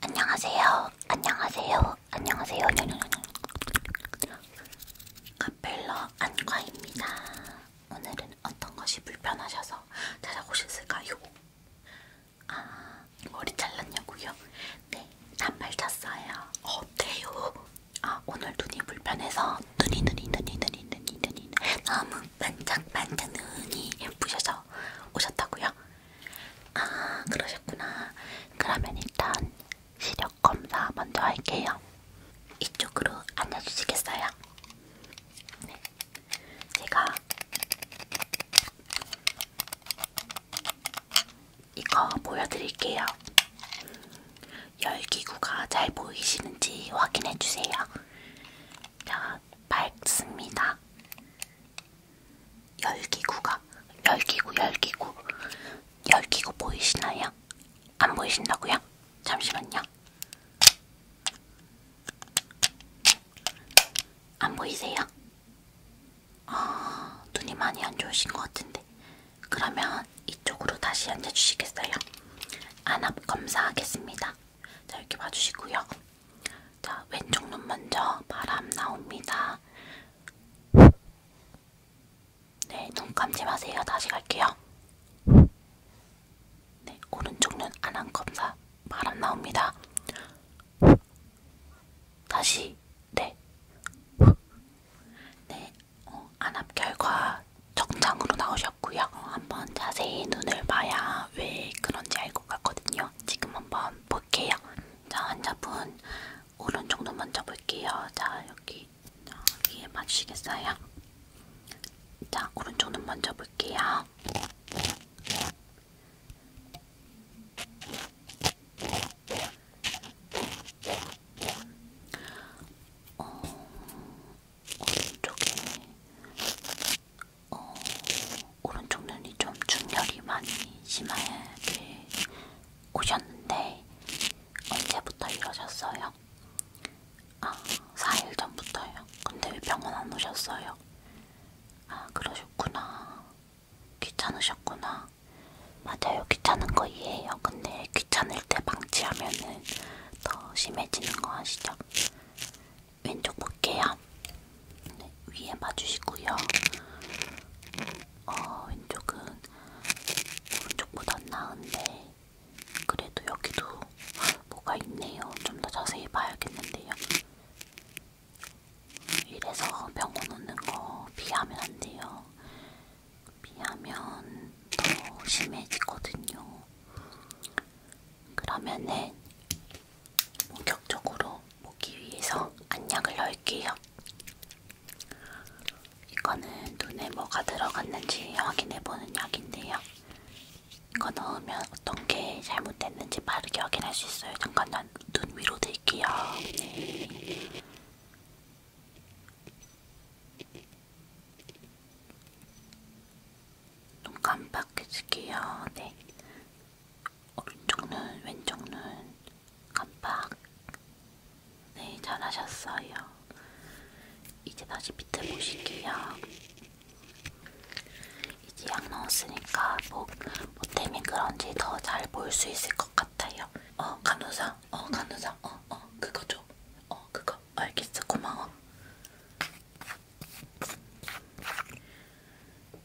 안녕하세요. 안녕하세요. 안녕하세요. 카펠러 안과입니다. 오늘은 어떤 것이 불편하셔서 찾아오셨을까요? 아, 머리 잘랐냐고요? 네, 단발 찼어요. 어때요? 아, 오늘 눈이 불편해서 눈이 눈이 눈이 눈이 눈이 눈이 너무 반짝반짝 눈이 예쁘셔서 오셨다고요? 아 그러셨구나. 그러면 일단 시력 검사 먼저 할게요. 이쪽으로 앉아주시겠어요? 네. 제가 이거 보여드릴게요. 열기구가 잘 보이시는지 확인해주세요. 자, 밝습니다. 열기구가 열기구 열기구 열기구 보이시나요? 안 보이신다고요? 잠시만요. 안 보이세요? 아 눈이 많이 안 좋으신 것 같은데 그러면 이쪽으로 다시 앉아주시겠어요? 안압 검사하겠습니다. 자 이렇게 봐주시고요. 자 왼쪽 눈 먼저 바람 나옵니다. 네, 눈 감지 마세요. 다시 갈게요. 네, 오른쪽 눈 안한 검사 바람 나옵니다. 다시 네, 네, 어, 안압 결과 정장으로 나오셨고요. 한번 자세히 눈을 봐야 왜 그런지 알 것 같거든요. 지금 한번 볼게요. 자, 환자분 오른쪽 눈 먼저 볼게요. 자, 여기 여기에 봐주시겠어요? 자, 오른쪽 눈 먼저 볼게요. 어, 오른쪽에 어, 오른쪽 눈이 좀 중열이 많이 심하게 오셨는데 언제부터 이러셨어요? 아 4일 전부터요. 근데 왜 병원 안 오셨어요? 아 그러셨구나. 귀찮으셨구나. 맞아요. 귀찮은 거 이해해요. 근데 귀찮을 때 방치하면은 더 심해지는 거 아시죠? 왼쪽 볼게요. 네, 위에 봐주시고요. 어, 왼쪽은 오른쪽보단 나은데 그래도 여기도 뭐가 있네요. 좀 더 자세히 봐야겠는데요. 이래서 병원 오는 거 피하면 안 돼요. 피하면 더 심해지거든요. 그러면은 본격적으로 먹기 위해서 안약을 넣을게요. 이거는 눈에 뭐가 들어갔는지 확인해보는 약인데요. 이거 넣으면 어떤 게 잘못됐는지 빠르게 확인할 수 있어요. 잠깐만 눈 위로 들게요. 네. 눈 깜빡해줄게요. 네. 오른쪽 눈, 왼쪽 눈 깜빡. 네, 잘하셨어요. 이제 다시 밑에 보실게요. 이제 약 넣었으니까 뭐, 보탬이 뭐 그런지 더 잘 볼 수 있을 것 같아요. 어, 간호사, 어, 간호사, 어, 어, 그거 줘. 어, 그거. 알겠어, 고마워.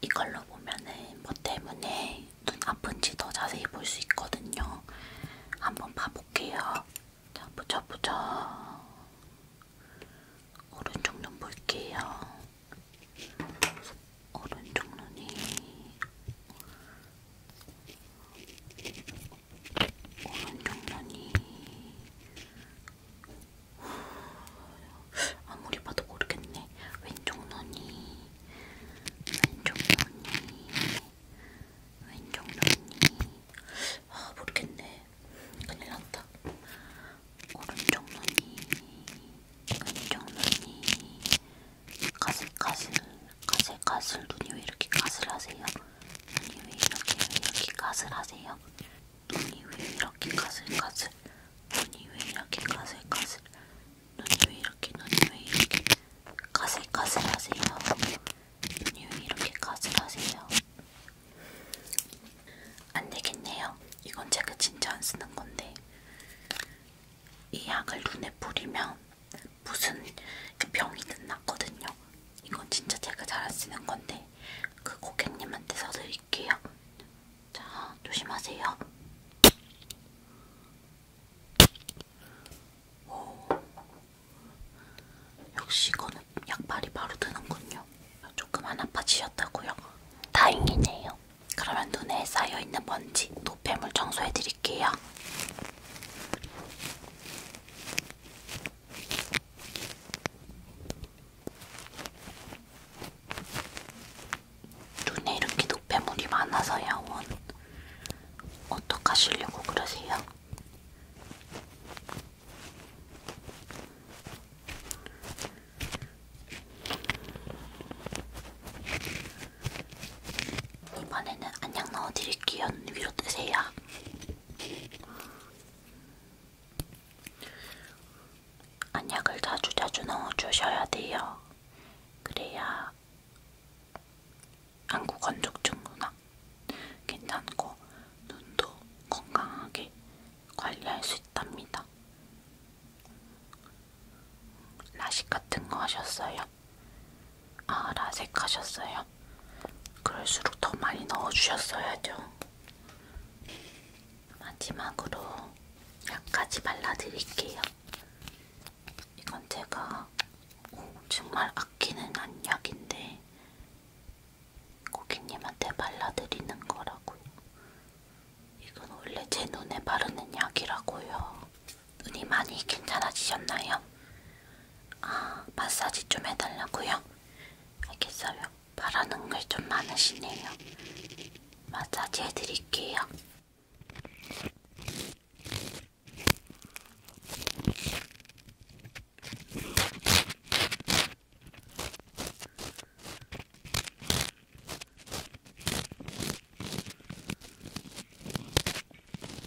이걸로 보면은 뭐 때문에 눈 아픈지 더 자세히 볼 수 있거든요. 한번 봐볼게요. 자, 보자, 보자. 오른쪽 눈 볼게요. 오른쪽 눈이 오는 경련이 아무리 봐도 모르겠네. 왼쪽 눈이 왼쪽 눈이 왼쪽 눈이 아 모르겠네. 큰일 났다. 오른쪽 눈이 왼쪽 눈이 가슬가슬 가슬 가슬 눈이 왜 이렇게 가슬하세요? 눈이 왜 이렇게 왜 이렇게 가슬하세요? 눈이 왜 이렇게 가슬 가슬? 눈이 왜 이렇게 가슬 가슬? 눈이 왜 이렇게 눈이 왜 이렇게 가슬 가슬하세요? 눈이 왜 이렇게 가슬하세요? 안 되겠네요. 이건 제가 진짜 안 쓰는 건데 이 약을 눈에 뿌리면 무슨 병이 났거든요. 이건 진짜 제가 잘안 쓰는 건데 그 고객님한테 사드릴게요. 자 조심하세요. 오 역시 이거는 약발이 바로 드는군요. 조금 안 아파지셨다고요? 다행이네요. 그러면 눈에 쌓여있는 먼지 노폐물 청소해드릴게요. 눈에 이렇게 노폐물이 많아서 야원 어떡하시려고 그러세요? 이번에는 안녕 넣어드릴게요. 위로 뜨세요. 안약을 자주자주 넣어주셔야 돼요. 그래야 안구 건조증구나 괜찮고 눈도 건강하게 관리할 수 있답니다. 라식 같은 거 하셨어요? 아, 라섹하셨어요? 그럴수록 더 많이 넣어주셨어야죠. 마지막으로 약까지 발라드릴게요. 이건 제가 오, 정말 아끼는 안약인데 고객님한테 발라드리는 거라고요. 이건 원래 제 눈에 바르는 약이라고요. 눈이 많이 괜찮아지셨나요? 아, 마사지 좀 해달라고요? 알겠어요. 바라는 걸 좀 많으시네요. 마사지 해드릴게요.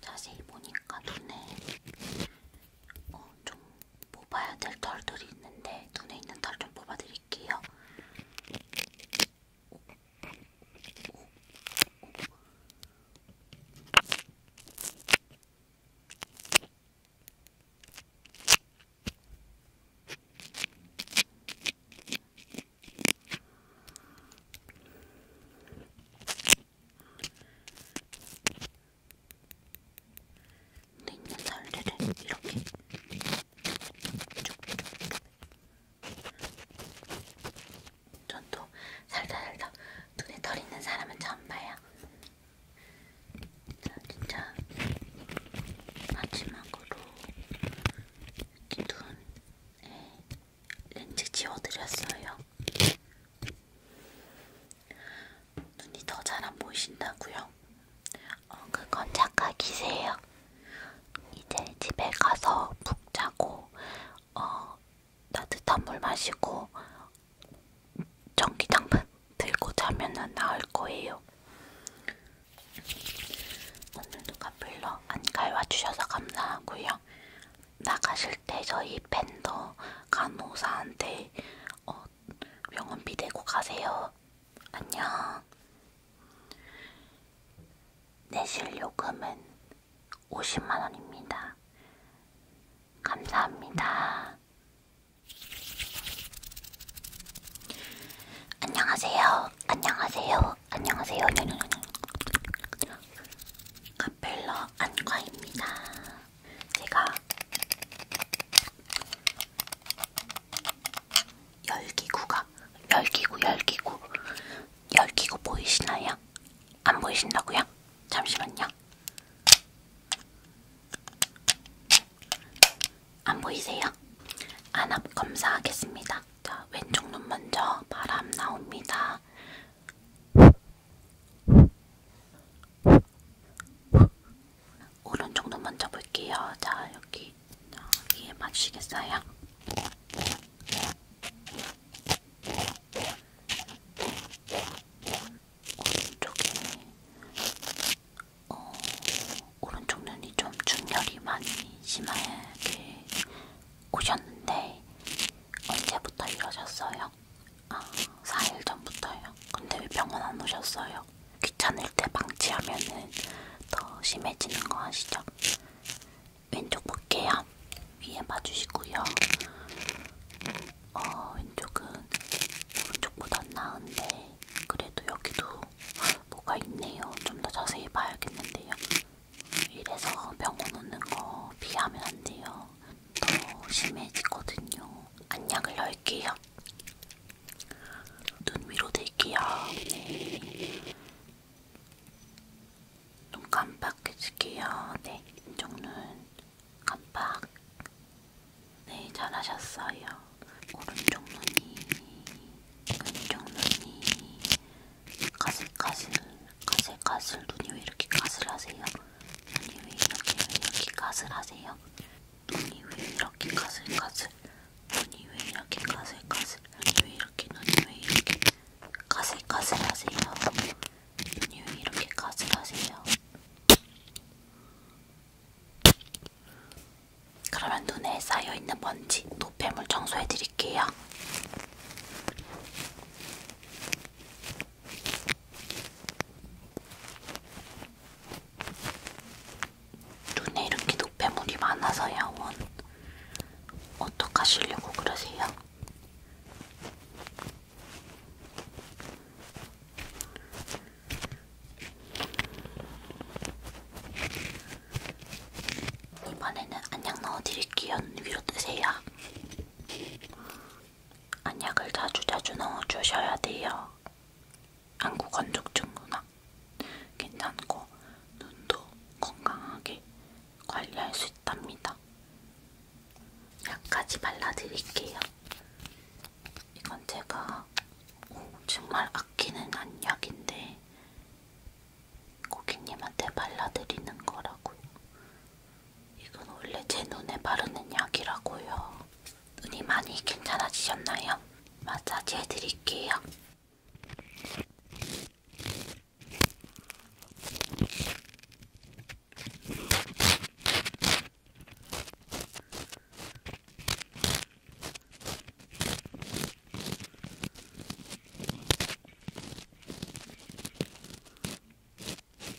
자세히 보니까 눈에 어, 좀 뽑아야 될 털들이 있는데 눈에 있는 털 좀 뽑아드릴게요. 근데 있는 살들을 이렇게 전또 살다 살다 눈에 털 있는 사람은 처음 봐요. 자, 진짜 마지막으로 이렇게 눈에 예, 렌즈 지워드렸어요. 눈이 더 잘 안 보이신다고요? 어, 그건 착각이세요. 이제 집에 가서 푹 자고, 어, 따뜻한 물 마시고, 전기장판 들고 자면은 나을 거예요. 오늘 누가 불러 안 갈와주셔서 감사하고요. 나가실 때 저희 팬더 간호사한테 어, 병원비 내고 가세요. 안녕. 내실 요금은 50만원입니다. 감사합니다. 안녕하세요. 안녕하세요. 안녕하세요. 카펠러 안과입니다. 제가 열기구가 열기구 열기구 열기구 보이시나요? 안 보이신다고요? 잠시만요. 안 보이세요? 안압 검사하겠습니다. 자, 왼쪽 눈 먼저 바람 나옵니다. 오른쪽도 먼저 볼게요. 자, 여기 여기에 맞추시겠어요? 오른쪽에 어, 오른쪽 눈이 좀 중열이 많이 심하게 오셨는데 언제부터 이러셨어요? 아, 4일 전부터요. 근데 왜 병원 안 오셨어요? 귀찮을 때 방치하면은 더 심해지는 거 아시죠? 왼쪽 볼게요. 위에 봐주시고요. 어, 왼쪽은 오른쪽보단 나은데 그래도 여기도 뭐가 있네요. 좀 더 자세히 봐야겠는데요. 이래서 병원 오는 거 피하면 안 돼요. 더 심해지거든요. 안약을 넣을게요. 눈 위로 들게요. 네. 눈 깜빡해줄게요. 네, 이쪽 눈 깜빡. 네, 잘하셨어요. 오른쪽 눈이, 왼쪽 눈이, 가슬가슬, 가슬가슬, 눈이 왜 이렇게 가슬하세요? 눈이 왜 이렇게, 왜 이렇게 가슬하세요? 눈이 왜 이렇게 가슬가슬 눈이 왜 이렇게 가슬가슬 눈이 왜 이렇게 눈이 왜 이렇게 가슬가슬 하세요 눈이 왜 이렇게 가슬 하세요 그러면 눈에 쌓여있는 먼지, 노폐물 청소해드릴게요. 눈에 이렇게 노폐물이 많아서 야원 어떡하시려고 그러세요? 이번에는 안약 넣어드릴게요. 위로 뜨세요. 안약을 자주자주 넣어주셔야 돼요. 한국 건축증 문화 괜찮고 눈도 건강하게 관리할 수 있답니다. 약까지 발라드릴게요. 이건 제가 오, 정말 아끼는 안약인데 고객님한테 발라드리는 거라고요. 이건 원래 제 눈에 바르는 약이라고요. 눈이 많이 괜찮아지셨나요? 마사지 해드릴게요.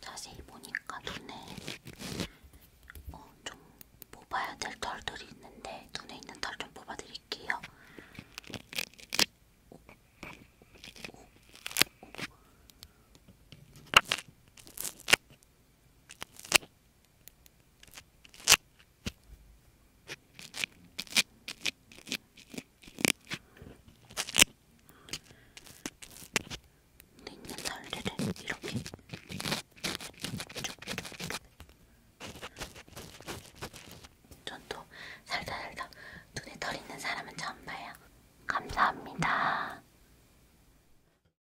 자세히 보니까 눈에 어, 좀 뽑아야 될 털들이 있는데 눈에 있는 털 좀 뽑아드릴게요. 오, 오, 오. 있는 달래를 이렇게 전또 살다 살다 눈에 털 있는 사람은 처음 봐요. 감사합니다.